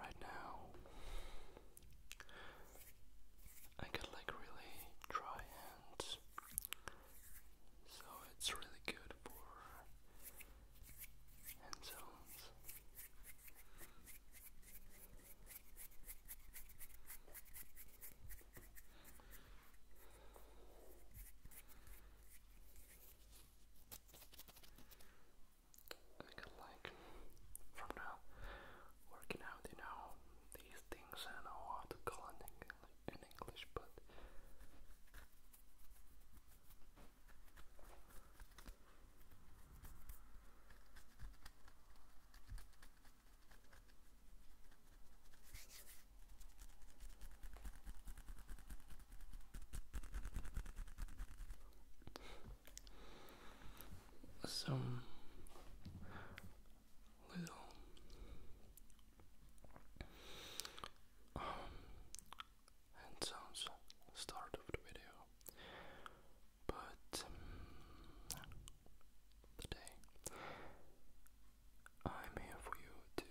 Right now, I got like really dry hands, so it's really good for hand zones. I like from now working out you know these things I know how to call in English but some little um, and sounds start of the video, but um, today I'm here for you to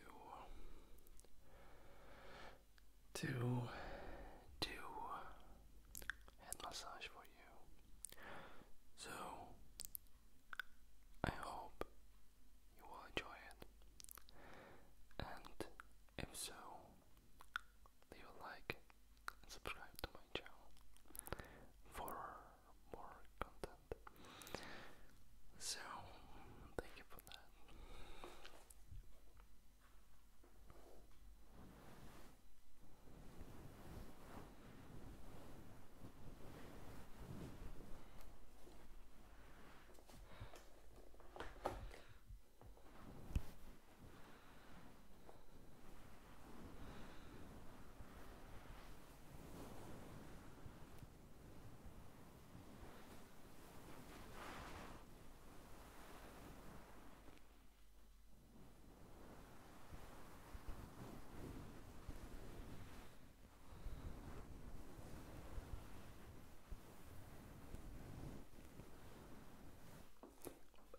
to do head massage for you. So I hope you will enjoy it. And if so, leave a like and subscribe to my channel for more content. So, thank you for that.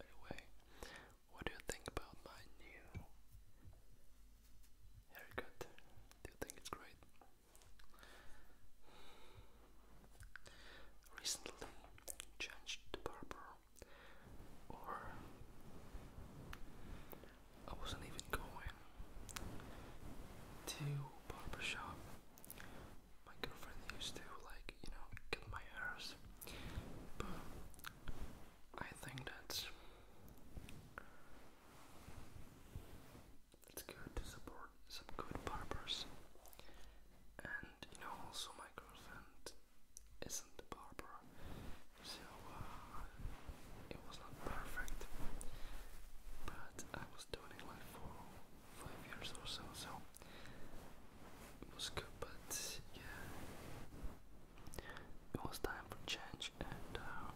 Anyway, what do you think about my new haircut? Do you think it's great? Recently changed the barber, or I wasn't even going to barber shop. My girlfriend used to like you know get my hairs, but I think that it's good to support some good barbers. And you know, also my girlfriend isn't a barber, so uh, it was not perfect. But I was doing it for five years or so, so it was good. But yeah, it was time for change, and uh,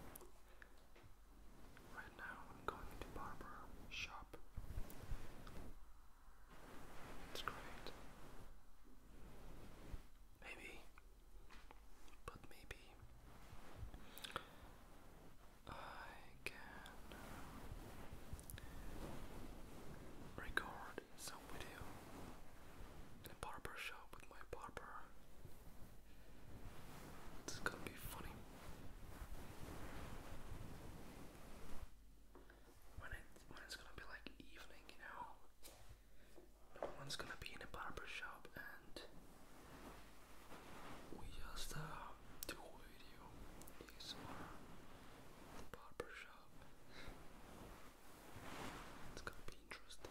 Right now, I'm going into barber shop. It's great. Maybe, but maybe I can record some video in barber shop with my barber this gonna be funny. When it when it's gonna be like evening, you know, no one's gonna be in a barber shop, and we just uh, do a video. It's our barber shop. It's gonna be interesting.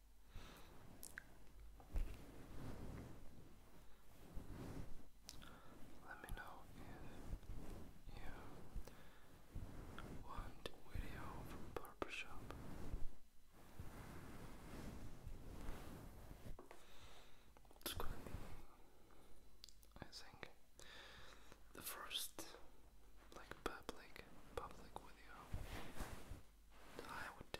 Let me know if you want video from Barbershop. It's going I think, the first like public, public video, I would do.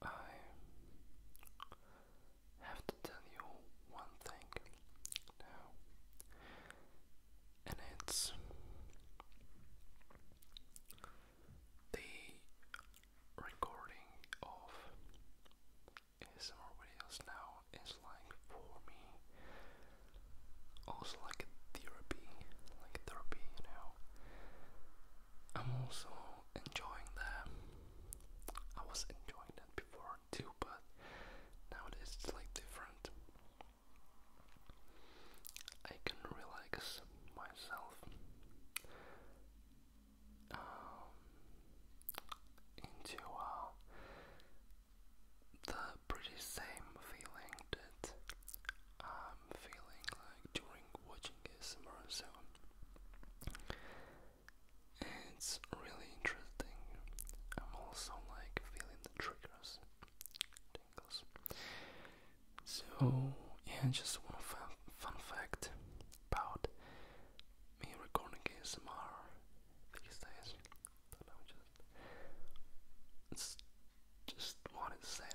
I have to tell you one thing and it's the recording of ASMR videos now is like for me also like therapy, like therapy, you know. I'm also enjoying that. I was enjoying that before too, but nowadays it's like different. I can relax myself um, into uh, the pretty same feeling that I'm feeling like during watching ASMR soon. It's really interesting. I'm also like feeling the triggers so yeah, just one fun, fact about me recording ASMR these days. just, just wanted to say that.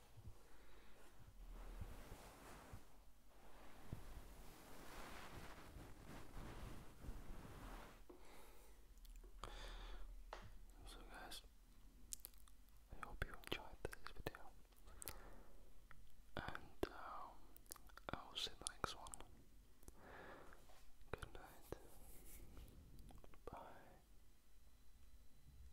So guys, I hope you enjoyed this video, and um, I will see the next one. Good night. Bye.